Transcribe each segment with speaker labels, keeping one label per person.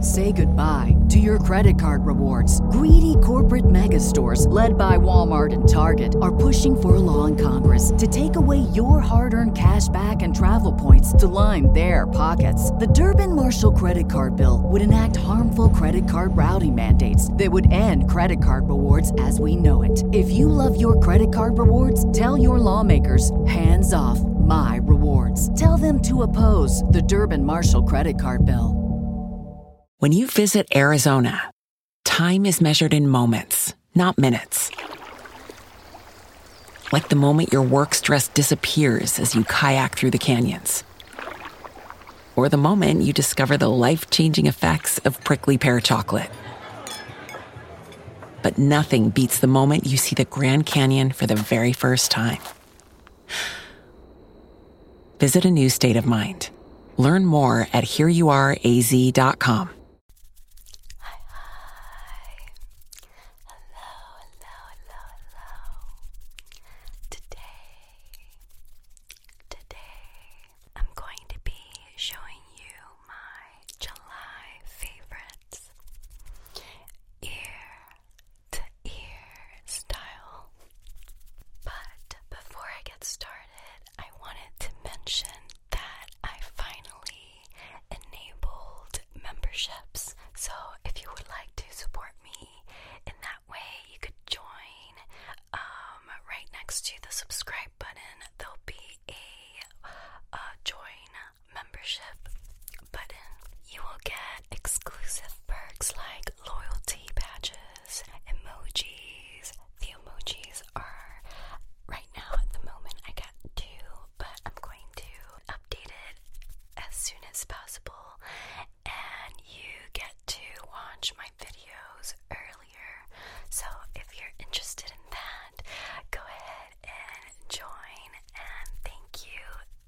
Speaker 1: Say goodbye to your credit card rewards. Greedy corporate mega stores, led by Walmart and Target, are pushing for a law in Congress to take away your hard earned cash back and travel points to line their pockets. The Durbin Marshall credit card bill would enact harmful credit card routing mandates that would end credit card rewards as we know it. If you love your credit card rewards, tell your lawmakers hands off my rewards. Tell them to oppose the Durban Marshall credit card bill. When you visit Arizona, time is measured in moments, not minutes. Like the moment your work stress disappears as you kayak through the canyons, or the moment you discover the life changing effects of prickly pear chocolate. But nothing beats the moment you see the Grand Canyon for the very first time. Visit a new state of mind. Learn more at hereyouareaz.com. Hi, Hello, hello, hello, hello. Today, today, I'm going to be showing you my July favorites ear ear style. But before I get started, I wanted to mention that I finally enabled memberships. So if you would like to support me in that way, you could join um, right next to the subscribe button. There'll be a uh, join membership button, you will get exclusive perks like loyalty badges, emojis. The emojis are right now at the moment I got two, but I'm going to update it as soon as possible. And you get to watch my videos earlier. So if you're interested in that, go ahead and join. And thank you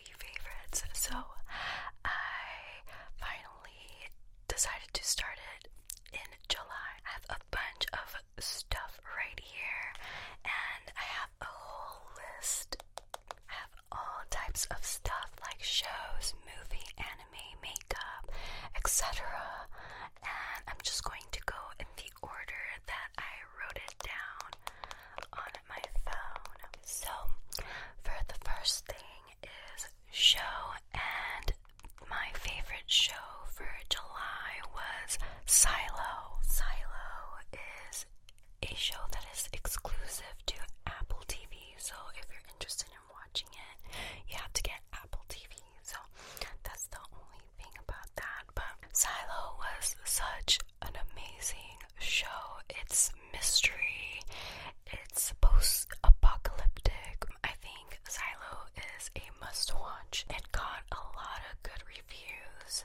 Speaker 1: favorites. So I finally decided to start it in July. I have a bunch of stuff right here, and I have a whole list. I have all types of stuff like shows, movie, anime, makeup, etc. And I'm just going to go in the order that I wrote it down on my phone. So, for the first thing, is show, and my favorite show for July was Silo. Silo is a show that is exclusive to Apple TV, so if you're interested in watching it, you have to get Apple TV. So that's the only thing about that. But Silo was such an amazing show. It's mystery. It's post apocalyptic. I think Silo is a must watch. It got a lot of good reviews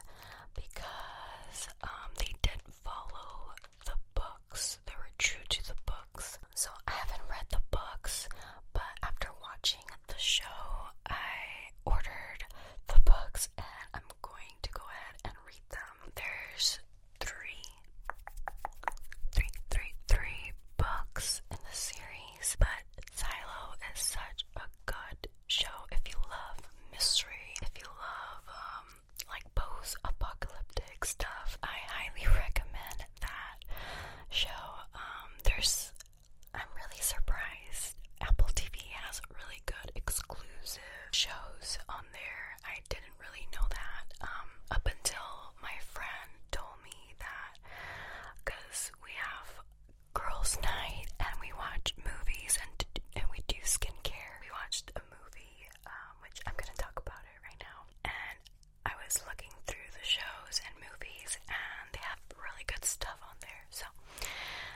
Speaker 1: because um, they did follow the books, they were true to the books. So I haven't read the books, but after watching the show, I ordered the books and I'm going to go ahead and read them. There's three, three, three, three books in the series, but Silo is such a good show if you love mystery, if you love um, like post-apocalyptic stuff. I highly recommend that show. Um, there's, I'm really surprised. Apple TV has really good exclusive shows on there. I didn't really know that um, up until my friend told me that because we have girls' night and we watch movies and and we do skincare. We watched a movie um, which I'm gonna talk about it right now, and I was looking through the shows and movies, and they have really good stuff on there. So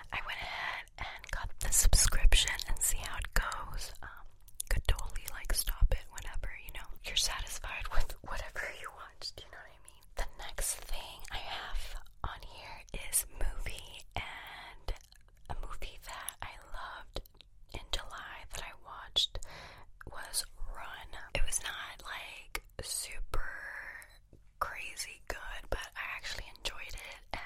Speaker 1: I went ahead and got the subscription and see how it goes. Um, could totally like stop it whenever, you know, you're satisfied with whatever you watched, you know what I mean? The next thing I have on here is movie and a movie that I loved in July that I watched was Run. It was not like super crazy good, but I actually enjoyed it and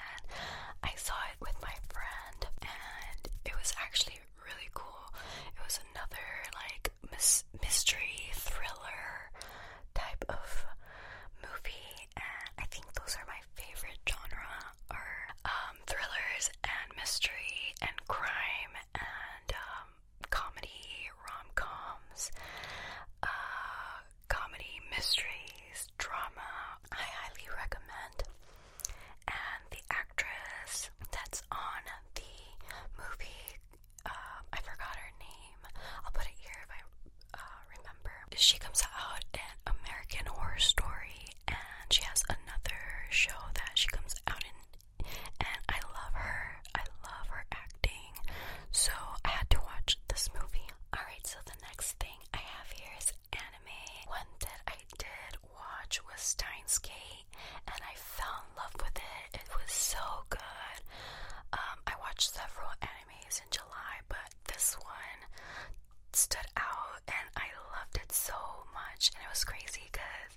Speaker 1: I saw it with my friend and it was actually really cool. It was another like mystery thriller type of movie and I think those are my favorite genre are um, thrillers and mystery and crime and um, comedy, rom-coms, uh, comedy mysteries, drama. I highly recommend and the actress that's on the movie, um, I forgot her name. I'll put it here if I uh, remember. She comes out in American Horror Story, and she has another show that she comes out in, and I love her. I love her acting. So I had to watch this movie. Alright, so the next thing I have here is anime. One that I did watch was Steins Gate, and I fell in love with it. It was so good. Um, I watched several animes in July, but this one stood out, and I loved it so much. And it was crazy because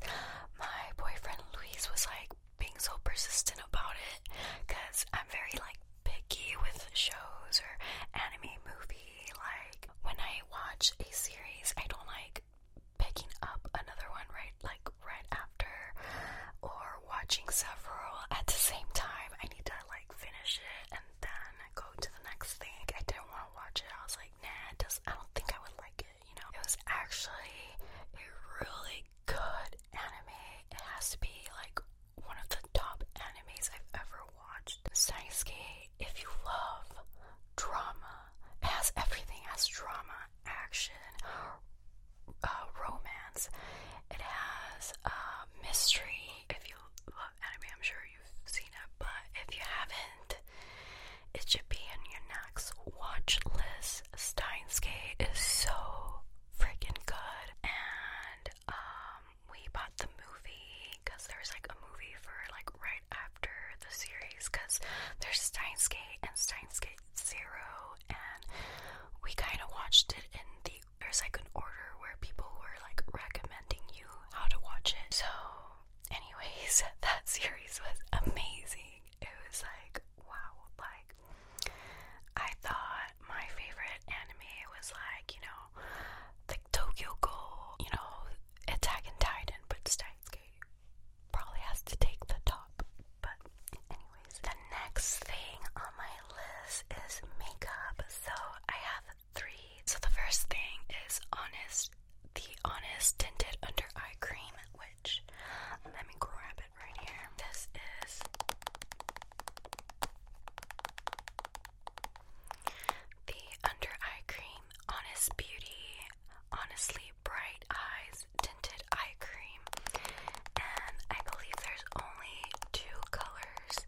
Speaker 1: my boyfriend Luis was like being so persistent about it, because I'm very like picky with shows or anime movie like when I watch a series, I don't like picking up another one right like right after or watching several at the same time. I need to like finish it and then go to the next thing. I didn't want to watch it. I was like, nah, it does I don't think I would like it, you know. It was actually a really good anime. It has to be like one of the top animes I've ever Steins Gate. if you love drama, it has everything. has drama, action, uh, romance. It has uh, mystery. If you love anime, I'm sure you've seen it, but if you haven't, it should be in your next watch list. Steins Gate is so freaking good, and um, we bought the movie because there's like a movie for like right after the series because there's Steins Gate and Steins Gate Zero, and we kind of watched it in the there's like an order where people were like recommending you how to watch it. So, anyways, that series was amazing. It was like wow, like I thought my favorite anime was like you know like Tokyo Ghoul, you know Attack and Titan, but Steins Gate probably has to take the top. But anyways, the next thing on my list is makeup. So I have three. So the first thing is honest, the honest tinted under eye cream, which let me grab it right here. This is the under eye cream, Honest Beauty, Honestly Bright Eyes Tinted Eye Cream. And I believe there's only two colors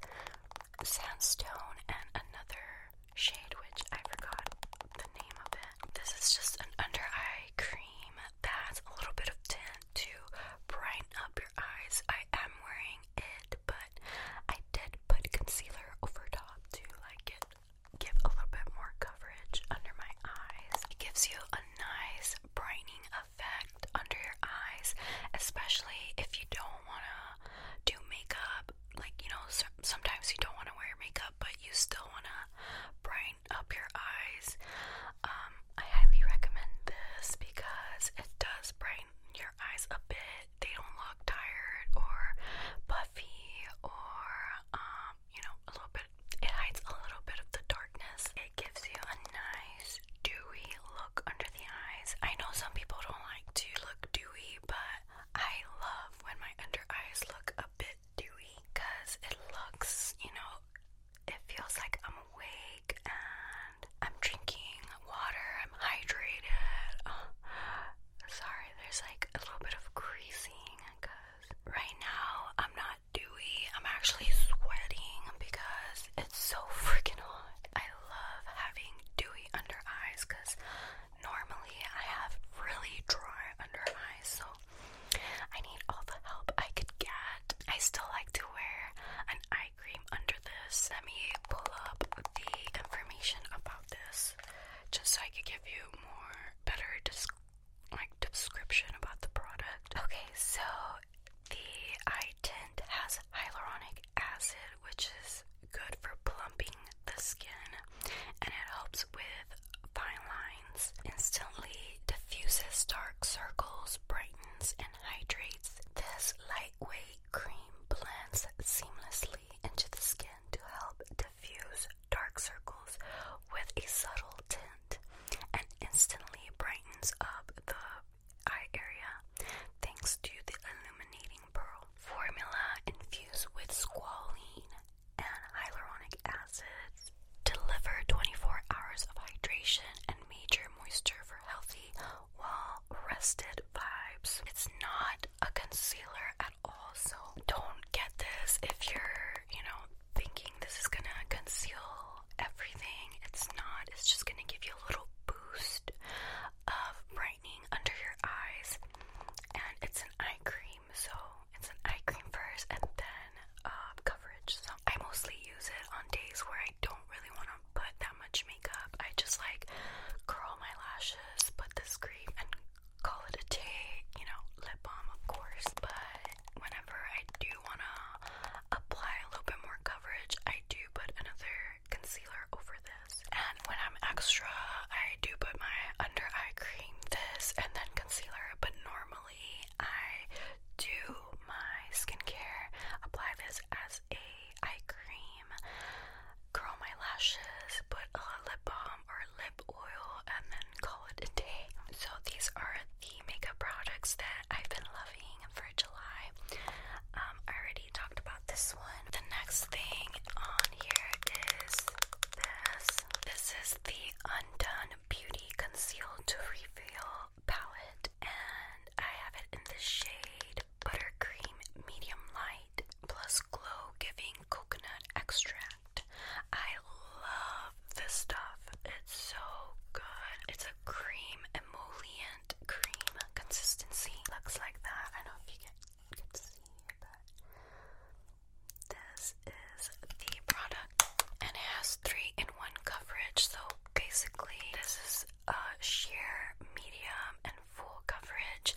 Speaker 1: sandstone and another shade, which I forgot the name of it. This is just an under eye cream that has a little bit of tint to brighten up your eyes. I am wearing it, but I did put concealer over top to like give a little bit more coverage under my eyes. It gives you a nice brightening effect under your eyes, especially if you don't want to do makeup. Like, you know, sometimes you don't want to wear makeup, but you still want to brighten up your eyes. Um, I highly recommend this because it does brighten your eyes a bit. They don't look tired or puffy or, um, you know, a little bit. It hides a little bit of the darkness. It gives you a nice dewy look under the eyes. I know some people don't like to look dewy, but I love when my under eyes look a bit dewy because it looks, you know, it feels like I'm awake and I'm drinking water, I'm hydrated. Uh, Sorry, there's like a little bit of creasing because right now I'm not dewy. I'm actually sweating because it's so freaking hot. I love having dewy under eyes because normally I have really dry under eyes, so I need all the help I could get. I still like to wear an eye cream under this, let me pull up the information about this just so I could give you more better description like description about the product. Okay, so the eye tint has hyaluronic acid, which is good for plumping the skin and it helps with fine lines. Instantly diffuses dark circles, brightens and hydrates. This lightweight cream blends seamlessly directly into the skin to help diffuse dark circles with a subtle tint and instantly brightens up the eye area thanks to the illuminating pearl formula infused with squalene and hyaluronic acids. deliver 24 hours of hydration and major moisture for healthy well rested vibes it's not a concealer at all, so don't get this if you're, you know, thinking this is gonna conceal everything. It's not, it's just gonna give you a little boost of brightening under your eyes. And it's an eye cream, so it's an eye cream first and then uh, coverage. So I mostly use it on days where I don't really want to put that much I just like curl my lashes, put this cream, and call it a day. You know, lip balm, of course. But whenever I do want to apply a little bit more coverage, I do put another concealer over this. And when I'm extra, I do put my under eye cream, this, and then concealer. But normally, I do my skincare, apply this as a eye cream, curl my lashes, put a lip balm or lip oil, and then call it a day. So these are the makeup products that I've been loving for July. Um, I already talked about this one. The next thing on here is this. This is the Undone Beauty Conceal to Reveal palette, and I have it in the shade buttercream medium light plus glow giving coconut extract. I love this stuff. It's so good. It's a cream emollient cream consistency. Looks like that. I don't know if you can see but this is the product and it has three in one coverage so basically this is uh, sheer, medium, and full coverage.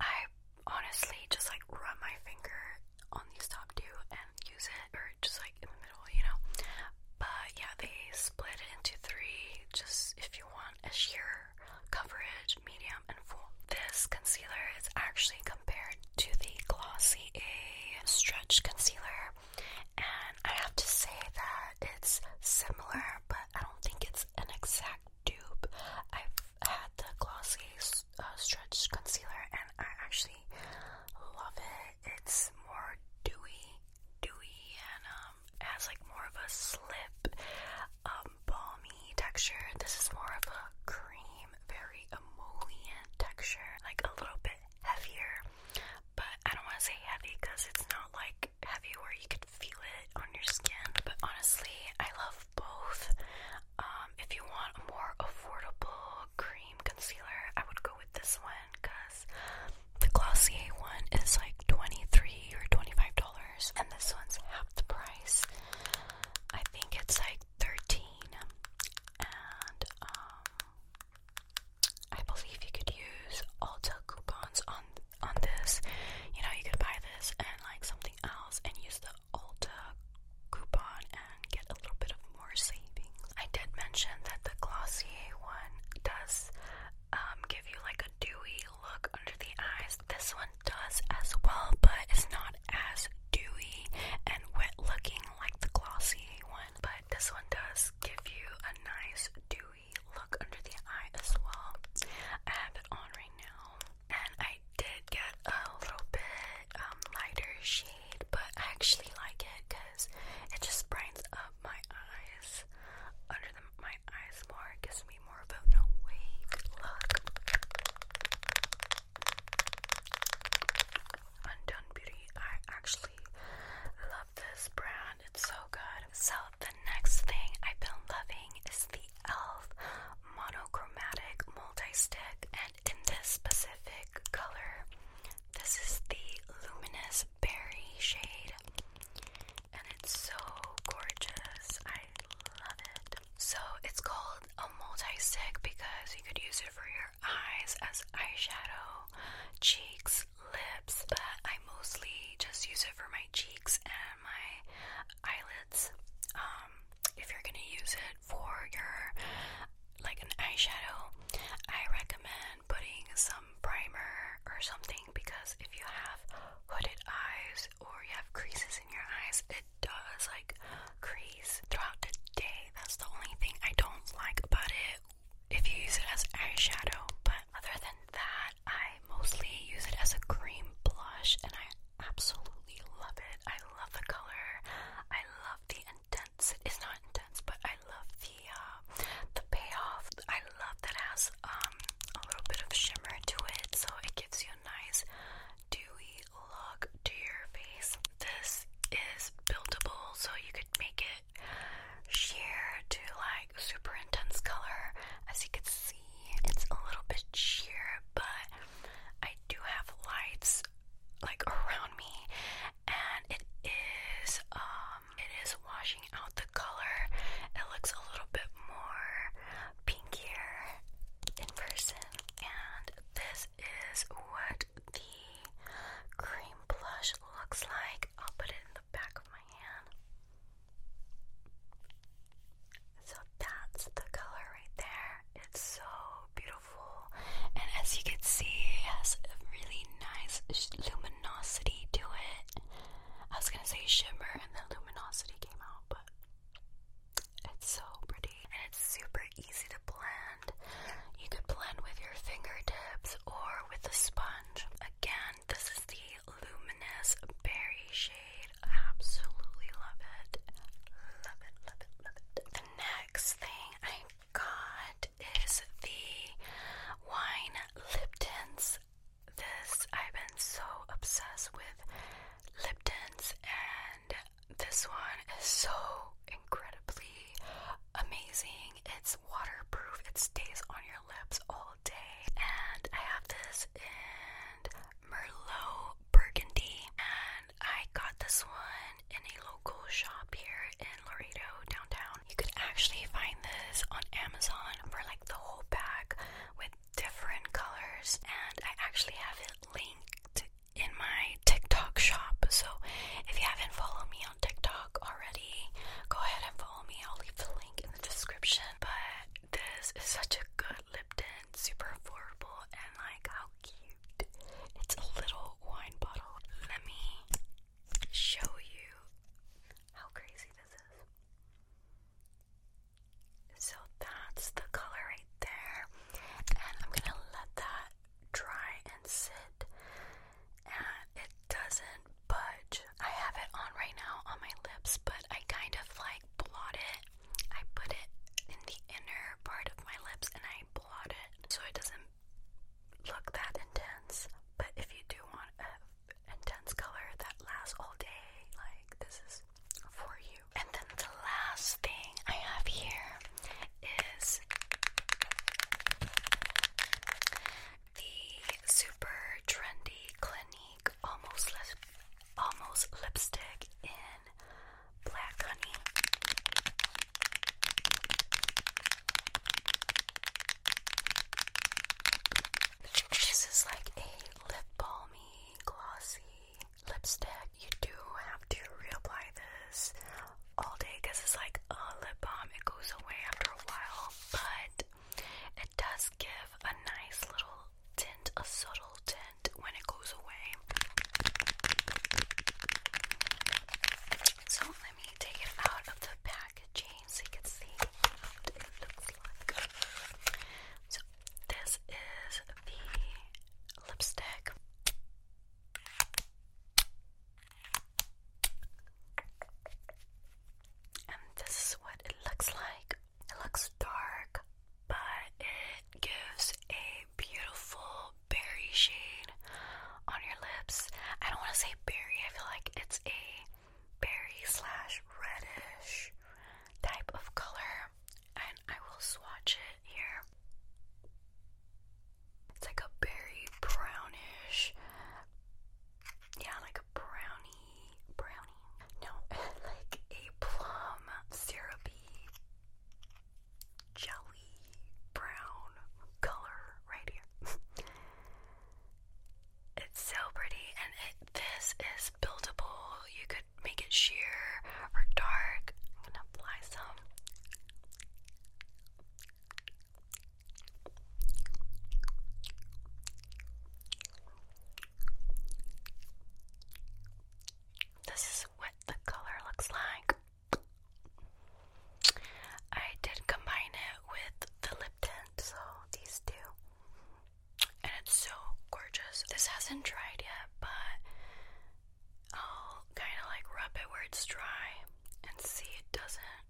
Speaker 1: I honestly just like run my finger on these top two and use it, or just like in the middle, you know. But yeah, they split into three just if you want a sheer coverage, medium, and full. This concealer is actually compared to the Glossy A Stretch Concealer, and I have to say that it's similar, but I don't think it's an exact dupe. I've had the glossy uh, stretch concealer and I actually love it. It's more dewy, dewy, and um, has like more of a slip, um, balmy texture. This is more of a cream, very emollient texture, like a little bit heavier. But I don't want to say heavy because it's not like heavy where you could feel it on your skin. But honestly, I love both. Um, if you want a more affordable cream concealer, I would go with this one because the Glossier one is like $23 or $25, and this one's half the price. I think it's like 13 and um I believe you could use Ulta coupons on on this, you know, you could buy this and like something else and use the Ulta coupon and get a little bit of more savings. I did mention that the Glossier one does um, give you like a dewy look under the eyes. This one does as well, but it's not as dewy and wet looking like the Glossier one. But this one does give you a nice dewy look under the eye as well. I have it on right now, and I did get a little bit um, lighter shade, but I actually like it because it just brightens up my eyes under my eyes more. It gives me more of a awake look. Undone Beauty, I actually love this brand. It's so good. So next thing I've been loving is the e.l.f. monochromatic multi-stick, and in this specific color, this is the luminous berry shade, and it's so gorgeous. I love it. So it's called a multi-stick because you could use it for your eyes as eyeshadow, cheeks, lips, but I mostly just use it for my cheeks and my eyelids. Um, if you're gonna use it for your like an eyeshadow, I recommend putting some primer or something because if you have hooded eyes or you have creases in your eyes, it does like crease throughout the day. That's the only thing I don't like about it if you use it as eyeshadow. But other than that, I mostly use it as a cream blush and I absolutely love it. I love the color. I love the intense. It's not intense, but I love the uh, the payoff. I love that it has um, a little bit of shimmer to it, so it gives you a nice dewy look to your face. This is buildable, so you could make it sheer to like super intense color. As you can see, it's a little bit sheer, but I do have lights like around me, and it is um it is washing out the color. It looks a little bit more pinkier in person, and this is what the cream blush looks like. I'll put it in so that's the color right there. It's so beautiful. And as you can see, it has a really nice luminosity to it. I was gonna say shimmer and then luminosity came out, but it's so pretty. And it's super easy to blend. You can blend with your fingertips or with a sponge. Again, this is the Luminous Berry shade. Absolutely love it. Love it, love it, love it. The next thing I got is the Wine tints. This, I've been so obsessed with lip tints, and this one is so incredibly amazing. It's waterproof, it stays on your lips all day. And I have this in Merlot Burgundy. And I got this one in a local shop here in Laredo, downtown. You could actually find this on Amazon for like the whole pack with different colors. And I actually have it linked in my TikTok shop. So if you haven't followed me on TikTok already, go ahead and follow me. I'll leave the link in the description. But this is such a good lip tint, super affordable, and like how cute. It's a little wine bottle. Let me show you how crazy this is. So that's the color right there, and I'm gonna let that dry and sit, and it doesn't budge, I have it on right now on my lips, but I kind of like blot it. I put it in the inner part of my lips and I blot it so it doesn't look that intense. But if you do want a intense color that lasts all day, like this is for you. And then the last thing I have here is the super trendy Clinique almost almost lipstick in black honey. This is like a lip balmy, glossy lipstick. You do have to reapply this all day because it's like a uh, lip balm. It goes away after a while, but it does give a nice little tint, a subtle tint when it goes away. So let me take it out of the packaging so you can see what it looks like. So this is the lipstick. And this is what it looks like it looks dark, but it gives a beautiful berry shade on your lips. I don't want to say berry, I feel like it's a berry slash reddish type of color, and I will swatch it here. It's like a berry brownish yeah, like a brownie, brownie. No, like a plum syrupy jelly brown color right here. it's so pretty, and this is buildable. You could make it sheer or dark. I'm gonna apply some. This is what the color looks like. I did combine it with the lip tint, so these two. And it's so gorgeous. This hasn't dried yet, but I'll kind of like rub it where it's dry and see it doesn't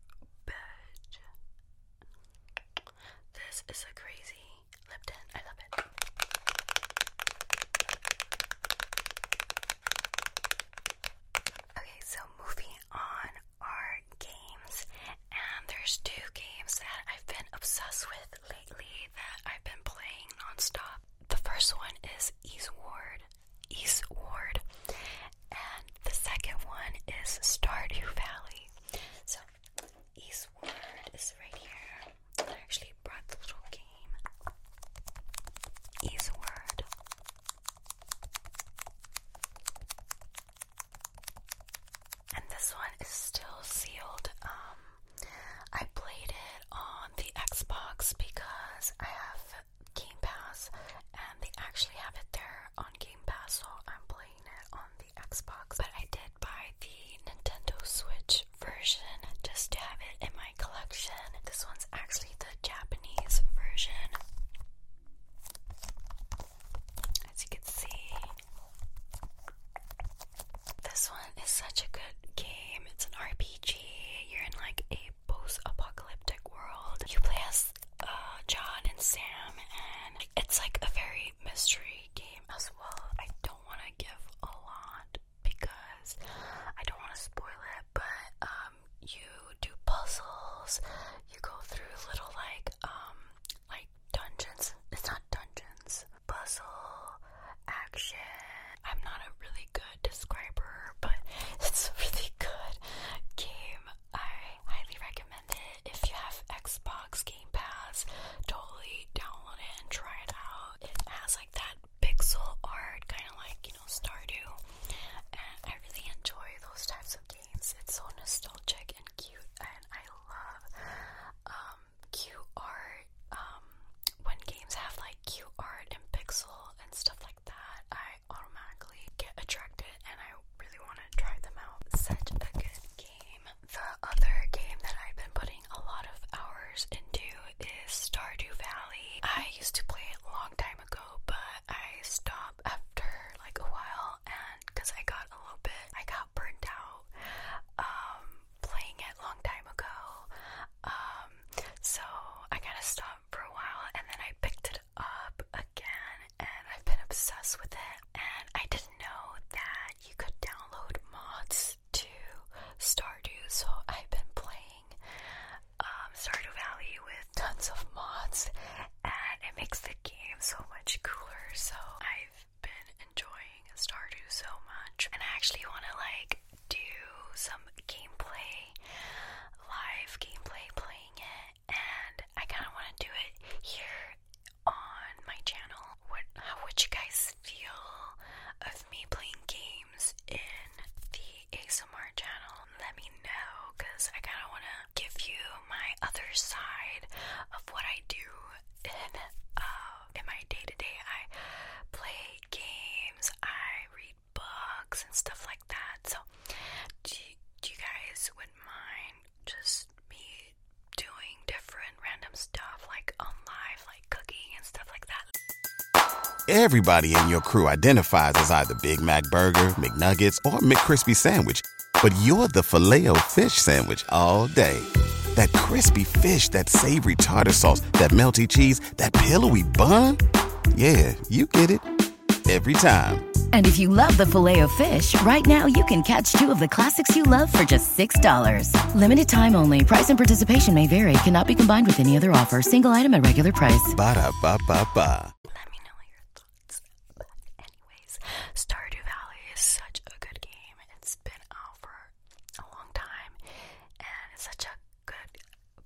Speaker 1: budge. This is a crazy Lipton. I love it. Okay, so moving on are games, and there's two games that I've been obsessed with lately that I've been playing nonstop. The first one is Eastward, Eastward, and the second one is Stardew Valley. So Eastward is right here. I actually brought the little game. Eastward. And this one is still sealed. Um, I played it on the Xbox because I have Game Pass and they actually have it there on Game Pass, so I'm playing it on the Xbox. But I did did buy the Nintendo Switch version just to have it in my collection. This one's actually the Japanese version. As you can see, this one is such a good game. It's an RPG. You're in like a post apocalyptic world. You play as uh, John and Sam, and it's like a very mystery game as well. I don't want to give a lot because I don't want to spoil it, but um, you do puzzles, you go through little like um like dungeons. It's not dungeons, puzzle action. I'm not a really good describer, but it's a really good game. I highly recommend it. If you have Xbox Game Pass, totally download it and try it out. It has like that pixel art, kind of like, you know, Stardew. And I really enjoy those types of games. It's so nostalgic and cute, and I love um, cute art. Um, when games have like cute art and pixel and stuff like that, I automatically get attracted and I really want to try them out. Such a good game the other game that I've been putting a lot of hours into is Stardew Valley. I used to play it a long time ago, but I stopped after like a while and because I got a little bit, I got burnt out um, playing it a long time ago. Um, so I gotta stop for a while and then I picked it up again and I've been obsessed with it. And I didn't know that you could download mods to Stardew, so I've been playing um, Stardew Valley with tons of mods, and it makes the game so much cooler. So I've been enjoying Stardew so much, and I actually want to like do some gameplay, live gameplay playing it, and I kind of want to do it here on my channel. What how would you guys feel of me playing games in the ASMR channel? Let me know because I kind of want to give you my other side of what I do in uh, in my day to day. I play games, I read books and stuff like that. So do you, do you guys would not mind just me doing different random stuff like on live, like cooking and stuff like that. Everybody in your crew identifies as either Big Mac Burger, McNuggets, or McKrispy Sandwich, but you're the filet fish Sandwich all day. That crispy fish, that savory tartar sauce, that melty cheese, that pillowy bun. Yeah, you get it every time. And if you love the filet of fish, right now you can catch two of the classics classics you love for just $6. Limited time only. Price and participation may vary. Cannot be combined with any other offer. Single item at regular price. Ba da ba ba ba. Let me know your thoughts. anyways, Stardew Valley is such a good game. It's been out for a long time, and it's such a good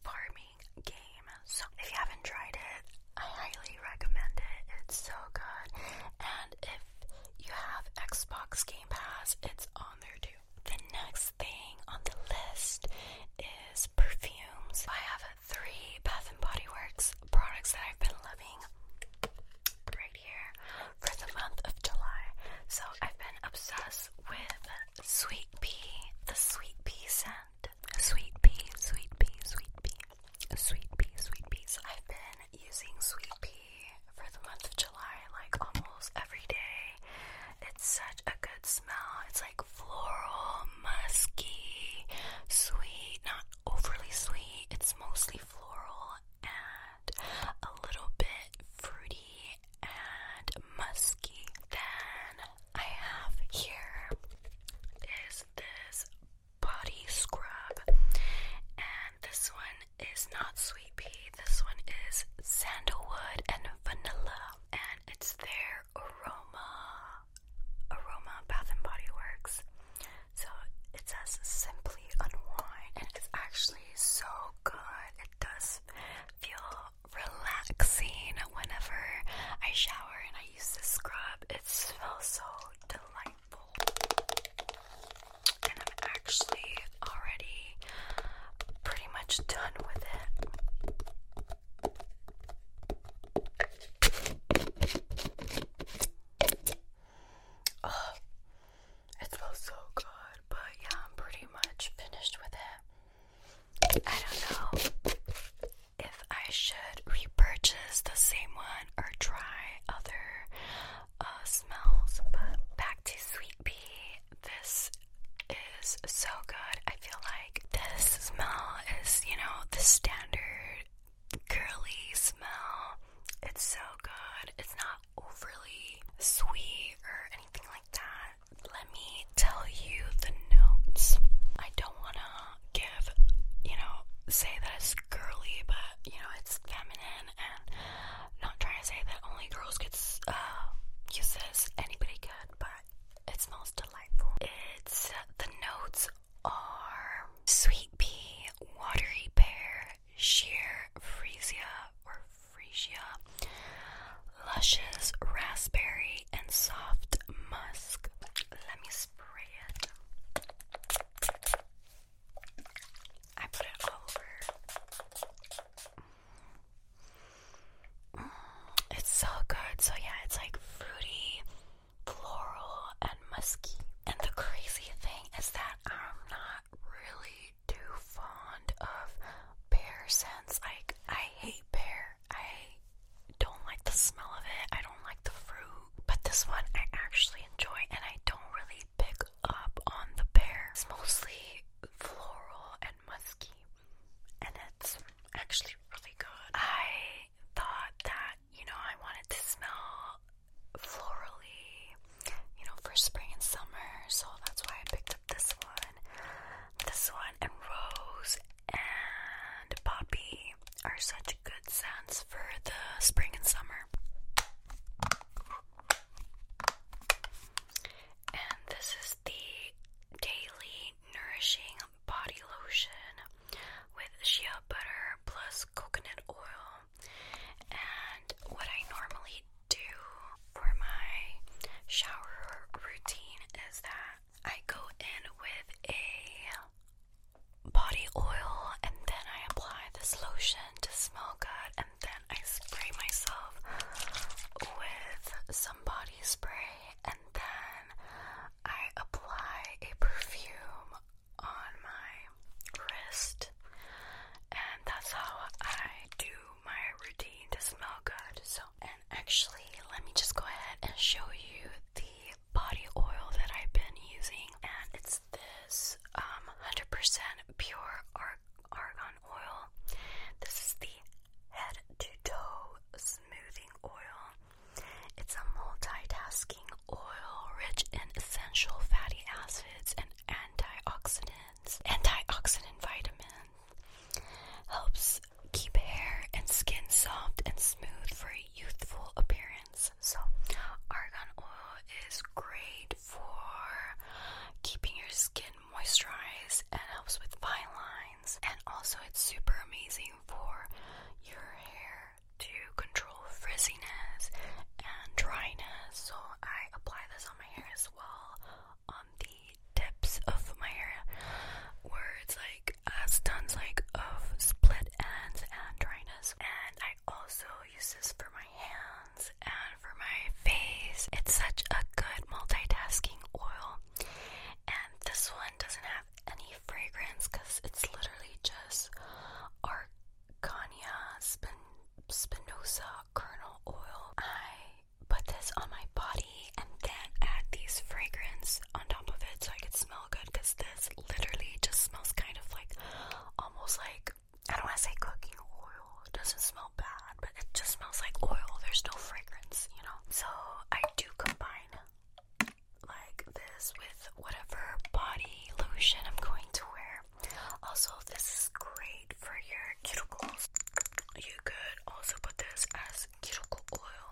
Speaker 1: farming game. So if you haven't tried it, I highly recommend it. It's so good. And if you have Xbox Game Pass, it's on there too. The next thing on the list is perfumes. I have three Bath and Body Works products that I've been loving right here for the month of July. So I've been obsessed with Sweet Pea, the Sweet Pea scent. Sweet Pea, Sweet Pea, Sweet Pea. Sweet Pea, Sweet Pea. I've been using Sweet Pea for the month of July, like almost every day. It's such a good smell. It's like floral, musky, sweet, not overly sweet. It's mostly floral and a little bit fruity and musky. Then I have here is this body scrub. And this one is not sweet pea, this one is sandalwood and vanilla. And it's their aroma aroma Bath and Body Works. So it says simply unwind and it's actually so good. It does feel relaxing whenever I shower and I use this scrub. It smells so delightful. And I'm actually already pretty much done with it. Oh, it smells so good, but yeah, I'm pretty much finished with it. I don't know if I should repurchase the same one or try other uh, smells, but back to Sweet Pea. This is so good. I feel like this smell is, you know, the standard girly smell. It's so good. It's not overly sweet or anything like that. Let me tell you the notes. I don't want to give, you know, say that it's girly, but you know, it's feminine and not trying to say that only girls could uh, use this, anybody could, but it smells delightful. It's the notes are sweet pea, watery pear, sheer freesia or freesia, luscious raspberry, and soft musk. Let me spray it. I put it all over. Mm, it's so good. So, yeah, it's like fruity, floral, and musky. And the crazy thing is that I'm not really too fond of pear scents. Like, I hate pear. I don't like the smell of it. I don't like the fruit but this one I actually enjoy and I don't really pick up on the bear. It's mostly floral and musky and it's actually really good. I thought that, you know, I wanted to smell florally, you know, for spring and summer, so that's why I picked up this one. This one and rose and poppy are such good scents for the spring and summer. And this is the Daily Nourishing Body Lotion with shea butter plus coconut oil. And what I normally do for my shower routine is that I go in with a body oil and then I apply this lotion to smell good and then I spray myself with some body spray and then I apply a perfume on my wrist and that's how I do my routine to smell good. So and actually let me just go ahead and show you the body oil that I've been using and it's this 100% um, pure ar argan oil. This is the head to toe smoothing oil. It's a multitasking oil rich in essential fatty acids and antioxidants. Antioxidant vitamins helps keep hair and skin soft and smooth for a youthful appearance fragrance. So, argan oil is great for keeping your skin moisturized and helps with fine lines. And also, it's super amazing for your hair to control frizziness and dryness. So, I apply this on my hair as well on the tips of my hair where it's like has uh, tons like of split ends and dryness and I also use this for my hands and for my face. It's such a good multitasking oil. And this one doesn't have any fragrance because it's literally just Arcania Spin Spinosa kernel oil. I put this on my body and then add these fragrances on top of it so I could smell good because this literally just smells kind of like almost like I don't want to say cooking oil. It doesn't smell bad, but it just smells like oil. There's no fragrance, you know. So I do combine like this with whatever body lotion I'm going to wear. Also, this is great for your cuticles. You could also put this as cuticle oil.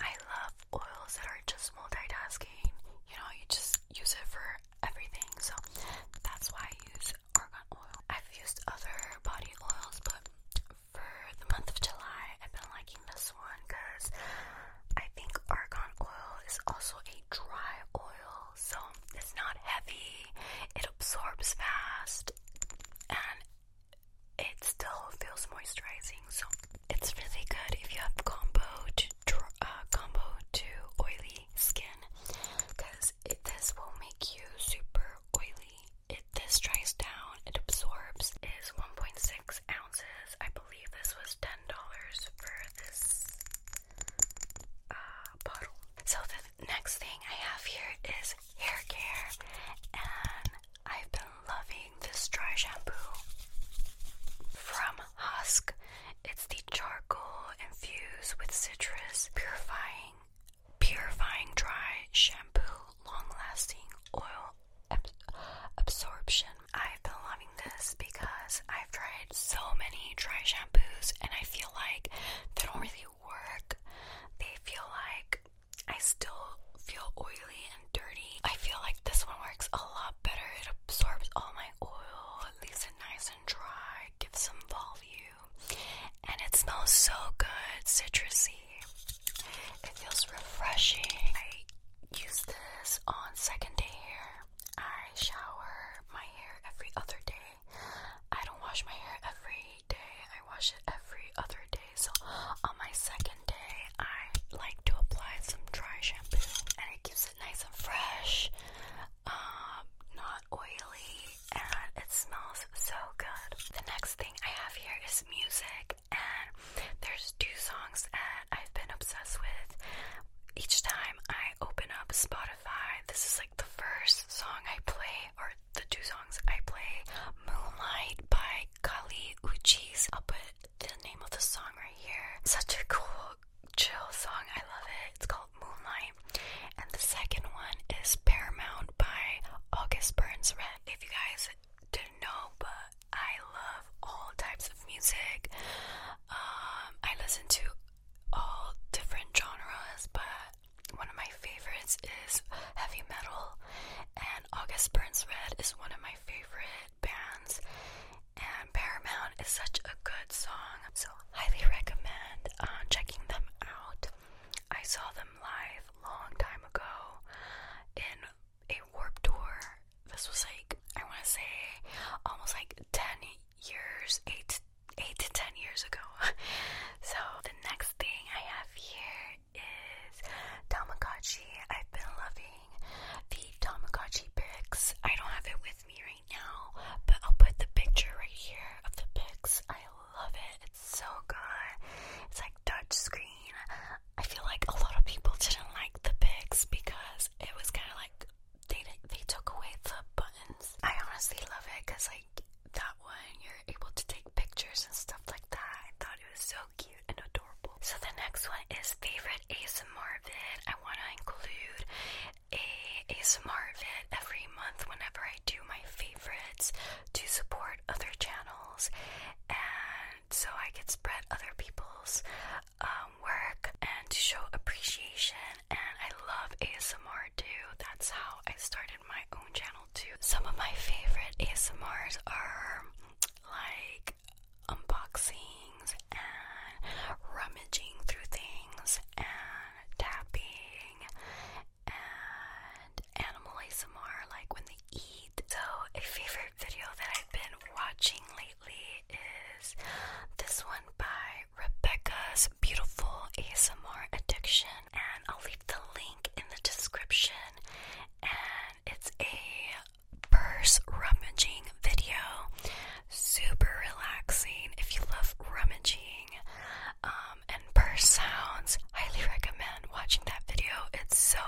Speaker 1: I love oils that are just multitasking. You know, you just use it for everything, so that's why I use argan oil. I've used other body oils, but for the month of July, I've been liking this one because I think argan oil is also a dry oil, so it's not heavy, it absorbs fast, and it still feels moisturizing, so it's really good if you have combo uh, combo to oily skin because this will make you super oily. It This dries down, it absorbs, Is is 1.6 ounces. I believe this was $10 for this uh, bottle. So, the next thing I have here is hair care, and I've been loving this dry shampoo from husk. It's the charcoal infused with citrus, purifying, purifying dry shampoo, long-lasting oil absorption. I've been loving this because I've tried so many dry shampoos, and I feel like they don't really work. They feel like I still feel oily and dirty. I feel like this one works a lot better. It absorbs all my oil, leaves it nice and dry, gives some volume, and it smells so good, citrusy. It feels refreshing. I use this on second day hair. I shower my hair every other day. I don't wash my hair every day. I wash it every other day. So on my second day, I like to apply some dry shampoo, and it gives nice and fresh, um, not oily, and it smells so good. The next thing I have here is music, and there's two songs that I've been obsessed with. Each time I open up Spotify, this is like the first song I play, or the two songs I play Moonlight by Kali Uchis. I'll put the name of the song right here. Such a cool chill song. I love it. It's called Moonlight. And the second one is Paramount by August Burns Red. If you guys didn't know, but I love all types of music. Um, I listen to all different genres, but one of my favorites is heavy metal, and August Burns Red is one of my favorite bands and Paramount is such a good song, so highly recommend uh, checking them out. I saw them live long time ago in a warp tour. This was like I want to say almost like ten years, eight eight to ten years ago. so the next thing I have here is Tamagotchi. I've been loving the Tamagotchi pics. I don't have it with me right now, but I'll put the picture right here of the pics. I love it. It's so good. It's like touch screen. I feel like a lot of people didn't like the pics because it was kind of like they they took away the buttons. I honestly love it because like that one you're able to take pictures and stuff like that. I thought it was so cute and adorable. So the next one is favorite ASMR vid. I want to include a ASMR vid every month whenever I do my favorites to support other channels and so I can spread other people's um, work and to show appreciation. And I love ASMR too. That's how I started my own channel too. Some of my favorite ASMRs are like unboxings and rummaging through things and tapping and animal ASMR like when they eat. So a favorite video that I've been watching lately is this one by Rebecca's Beautiful ASMR Addiction and I'll leave the link in the description and it's a purse rummaging video. Super relaxing if you love rummaging um, and purse sounds. Highly recommend watching that video. It's so,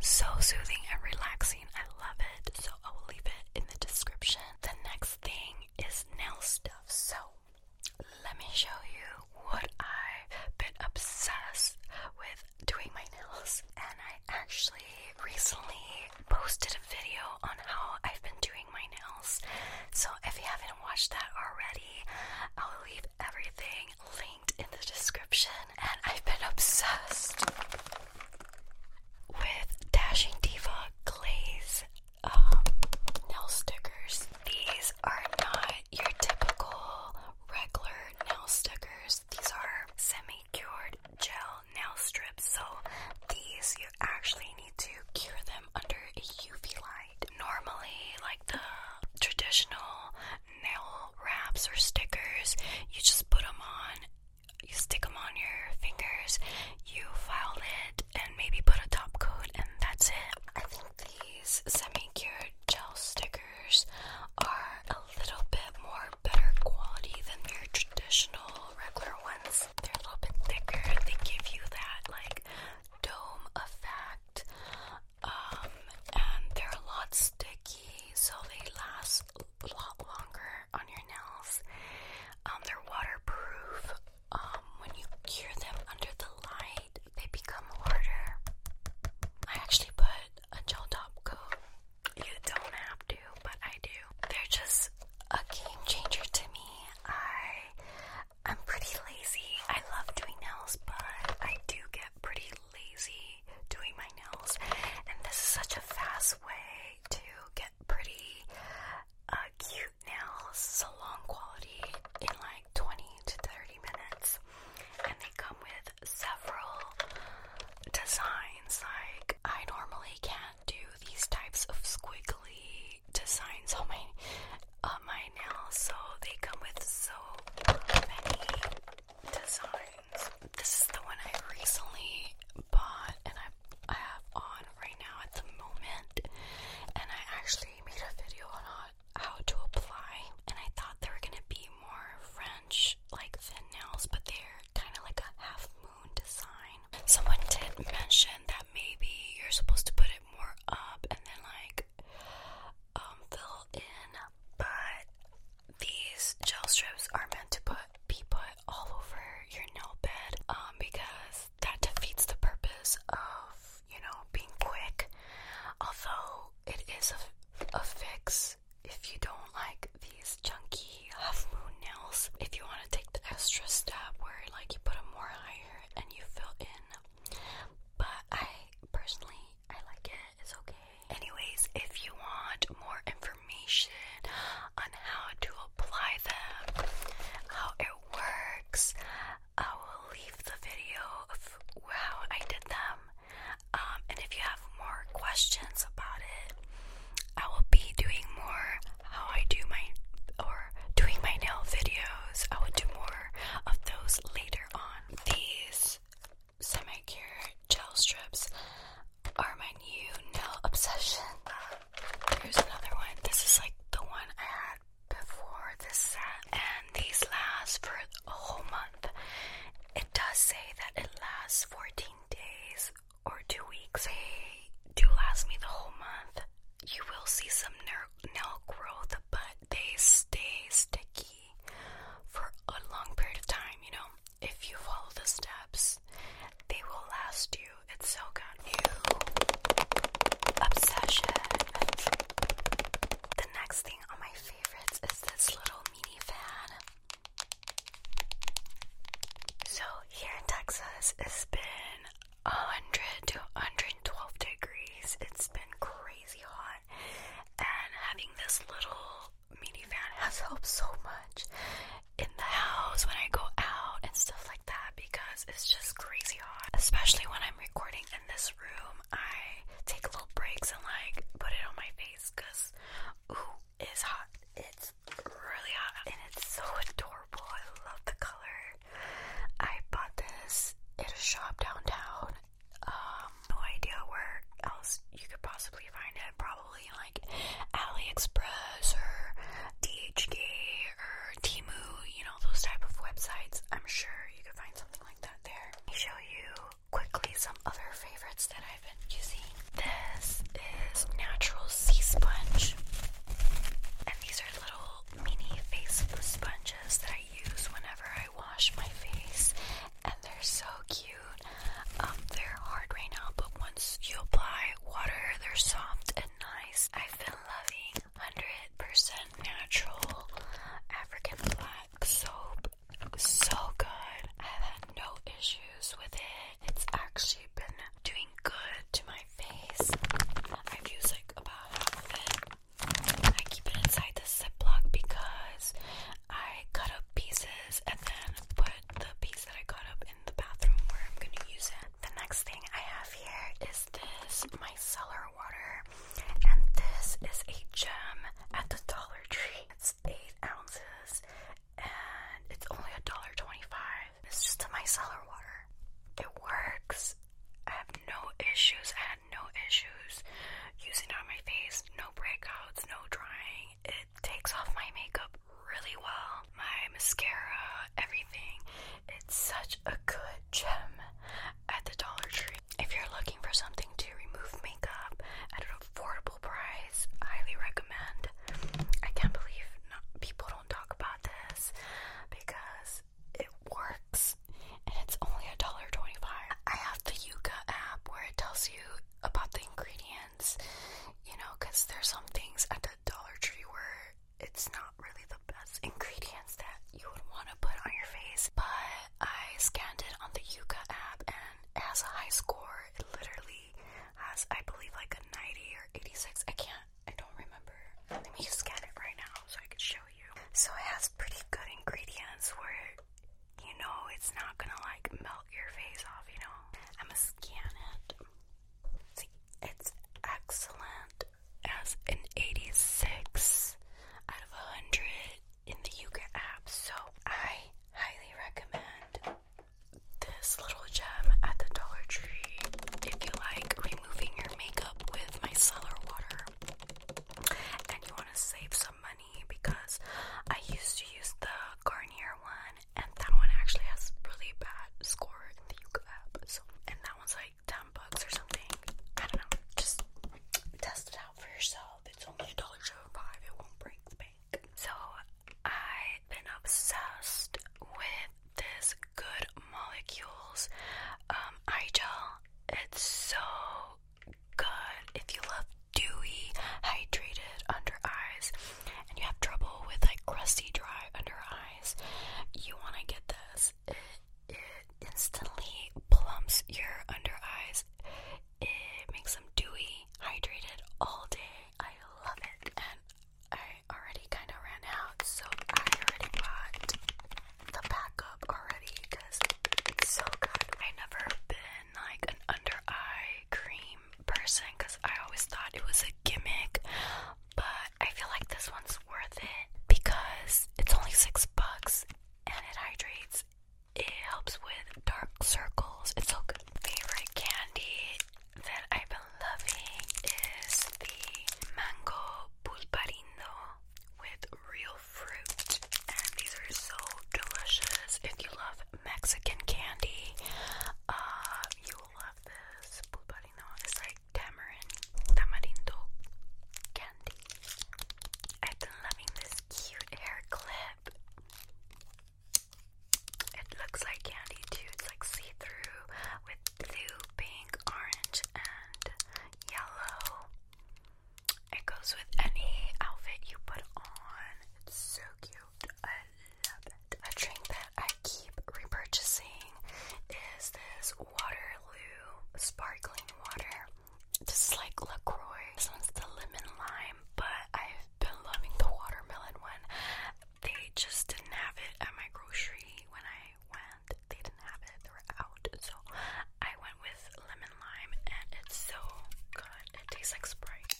Speaker 1: so soothing and relaxing. I love it. So I will leave it in the description. The next thing is nail stuff. So let me show you what I've been obsessed with doing my nails, and I actually recently posted a video on how I've been doing my nails. So if you haven't watched that already, I'll leave everything linked in the description. And I've been obsessed with Dashing Diva glaze um, nail stickers. These are not your typical regular nail stickers. These are semi-cured gel nail strips. So these you actually need to cure them under a UV light. Normally, like the traditional nail wraps or stickers, you just put them on, you stick them on your fingers, you file it, and maybe put a top coat, and that's it. I think these semi-cured gel stickers are a little bit more better quality than your traditional regular ones. They're a little bit thicker. They give you that like dome effect. Um, and they're a lot sticky, so they last a lot longer on your nails. Um, they're waterproof. Um, when you cure them under the light, they become harder. I actually put a gel top coat you don't have to, but I do. They're just a game changer to me. I I'm pretty lazy. I love doing nails, but I do get pretty lazy doing my nails. And this is such a fast way to get pretty uh, cute nails, salon quality in like 20 to 30 minutes. And they come with several designs. Like, I normally can't do these types of squiggly designs on my uh, my nails, so they come with so many designs. This is the one I recently bought, and I I have on right now at the moment, and I actually made a video on how to apply, and I thought they were gonna be more French like thin nails, but they're kind of like a half moon design. Someone did mention that maybe you're supposed to put it more up and then like um fill in, but these gel strips are meant to put be put all over your nail bed um because that defeats the purpose of you know being quick although it is a, a fix if you don't like these chunky half moon nails, if you want to take the extra step where like you put them more higher and you fill in, but I personally I like it. It's okay. Anyways, if you want more information on how to apply them, how it works, I will leave the video of how I did them. Um, and if you have more questions about it, I will be doing more how I do my or doing my nail videos. I will do more of those later on. These semi cure gel strips are my new nail obsession. Here's another one. This is like the one I had before this set, and these last for a whole month. It does say that it lasts 14 days, or two weeks, Hey, do last me the whole month. You will see some nail growth, but they stay sticky for a long period of time, you know? If you follow the steps, they will last you. It's so good. New obsession. The next thing on my favorites is this little mini fan. So here in Texas, it's been 100 to 112 degrees. It's been crazy hot, and having this little mini fan has helped so much in the house when I go out and stuff like that because it's just crazy hot. Especially when I'm recording in this room, I take little breaks and like put it on my face because ooh, it's hot. It's really hot and it's so adorable. I love the color. I bought this at a shop downtown. Um, no idea where else you could possibly find it. Probably like AliExpress or DHK or Timu, you know, those type of websites. I'm sure you could find something like that there. Let me show you quickly some other favorites that I've been using. This is natural sea sponge, and these are little mini face sponges that I use whenever I wash my face, and they're so cute. Um, they're hard right now, but once you apply water, they're soft and nice. I've been loving 100% natural African black soap. So good. I've had no issues with it. It's actually been doing good to my face. I've used like about half of it. I keep it inside the Ziploc because I cut up pieces and then put the piece that I cut up in the bathroom where I'm going to use it. The next thing I have here is this micellar water, and this is a gem at the Dollar Tree. It's 8 ounces and it's only a dollar twenty-five. It's just a micellar water. It works. I have no issues. I had no issues using on my face. No breakouts. No drying. It takes off my makeup really well. My mascara, everything. It's such a good gem at the Dollar Tree. If you're looking for something to remove makeup at a affordable price. Highly recommend. I can't believe people don't talk about this because it works and it's only a dollar twenty-five. I have the Yuka app where it tells you about the ingredients, you know, because there's some things at the Dollar Tree where it's not really the best ingredients that you would want to put on your face. But I scanned it on the Yuka app and it has a high score. It literally has, I believe, like a 90 or 86. I can't, I don't remember. Let me just scan it right now so I can show you. So it has pretty good ingredients where, you know, it's not gonna like melt your face off, you know? I'm gonna scan it. See, it's excellent as an 86 out of 100 in the Yuka app. So I highly recommend this little gem at the Dollar Tree if you like removing your makeup with micellar water and you want to save some money because I used to use the Garnier one and that one actually has really bad score in the Yuka app so and that one's like 10 bucks or something I don't know just test it out for yourself it's only a dollar 75 it won't break the bank. So I've been obsessed with this Good Molecules um, eye gel. It's so good if you love dewy, hydrated under eyes and you have trouble with like crusty, dry under eyes. You want to get this. it instantly plumps your under eyes. It makes them dewy, hydrated all day. I love it, and I already kind of ran out, so I already bought the backup already because it's so good. I have never been like an under eye cream person because I always thought it was a gimmick, but I feel like this one's worth it because it's only six bucks and it hydrates. It helps with dark circles. It's so good favorite candy that I've been loving is the mango pulparindo with real fruit. And these are so delicious. If you love Mexican candy, uh, you will love this pulparindo. It's like tamarind, tamarindo candy. I've been loving this cute hair clip. It looks like candy too. It's like see-through with blue, pink, orange, and yellow. It goes with any outfit you put on. It's so cute. I love it. A drink that I keep repurchasing is this Waterloo sparkling water. This is like LaCroix. This one's the lemon lime, but I been loving the watermelon one. They just didn't have it at my grocery when I went. They didn't have it. They were out. So I went with lemon lime and it's so good. It tastes like Sprite.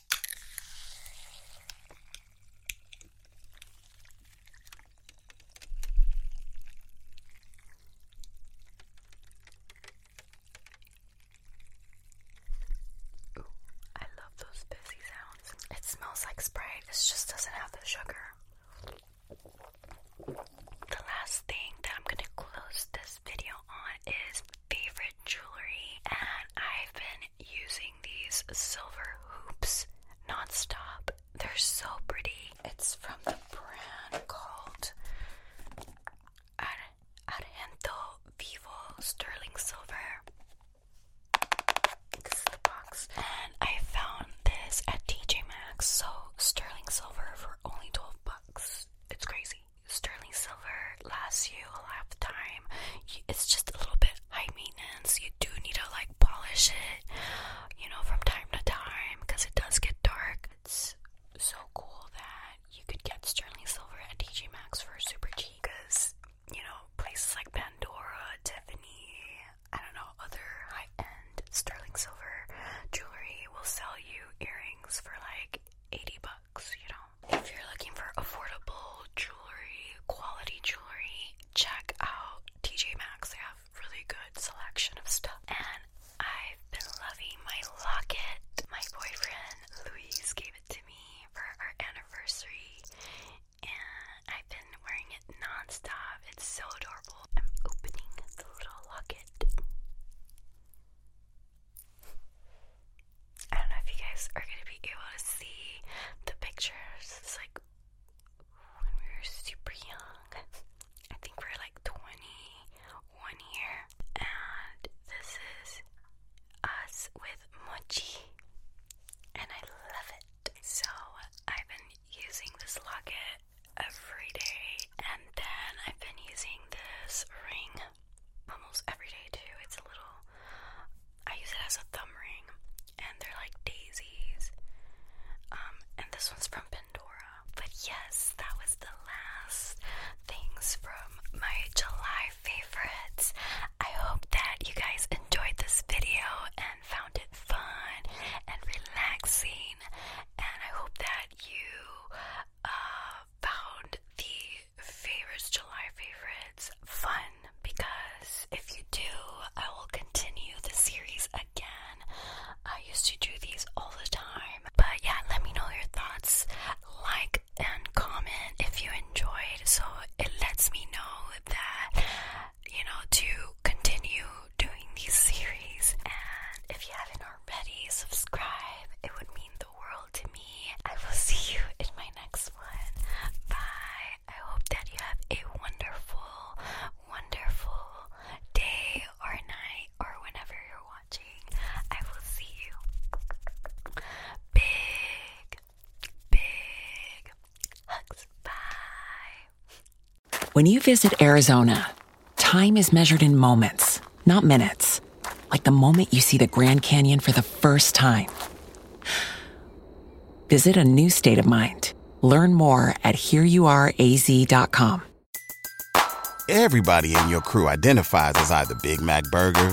Speaker 1: I love those busy sounds. It smells like spray. This just doesn't have the sugar. The last thing that I'm gonna close this video on is favorite jewelry, and I've been using these silver hoops non They're so pretty. It's from the brand called Argento Vivo Sterling Silver. This is the box. And I found this at TJ Maxx. So, Sterling Silver for only 12 bucks. It's crazy. Sterling Silver lasts you a lot of time. It's just a little bit high maintenance. You do need to like polish it, you know, from time to time because it does get dark. It's so cool that you could get Sterling Silver at TJ Maxx for super cheap. Because, you know, places like Pandora, Tiffany, I don't know, other high end Sterling Silver jewelry will sell you earrings for like 80 bucks, you know. If you're looking for affordable jewelry, quality jewelry, check out TJ Maxx. They have really good selection of stuff. And I've been loving my locket. My boyfriend Luis gave it to me for our anniversary anniversary, and I've been wearing it non It's so adorable. I'm opening the little locket. I don't know if you guys are gonna be able to see the pictures. It's like when we were super young. I think we're like 21 here, and this is us with mochi, and I love it. So I've been using this locket every day, and then I've been using this ring almost every day too. It's a little, I use it as a thumb ring, and they're like daisies. Um, and this one's from Pandora. But yes, that was the last things from my July favorites. I hope that you guys enjoyed this video and found it fun and relaxing. And I hope that you uh, found the favorites, July favorites, fun because if you do, I will continue the series again. I used to do these all the time. But yeah, let me know your thoughts. Like, and comment if you enjoyed. So it lets me know that, you know, to continue doing these series. And if you haven't already, subscribe. It would mean the world to me. I will see you in my next one. Bye. I hope that you have a wonderful, wonderful day or night or whenever you're watching. I will see you. Big when you visit Arizona, time is measured in moments, not minutes. Like the moment you see the Grand Canyon for the first time. Visit a new state of mind. Learn more at hereyouareaz.com. Everybody in your crew identifies as either Big Mac Burger,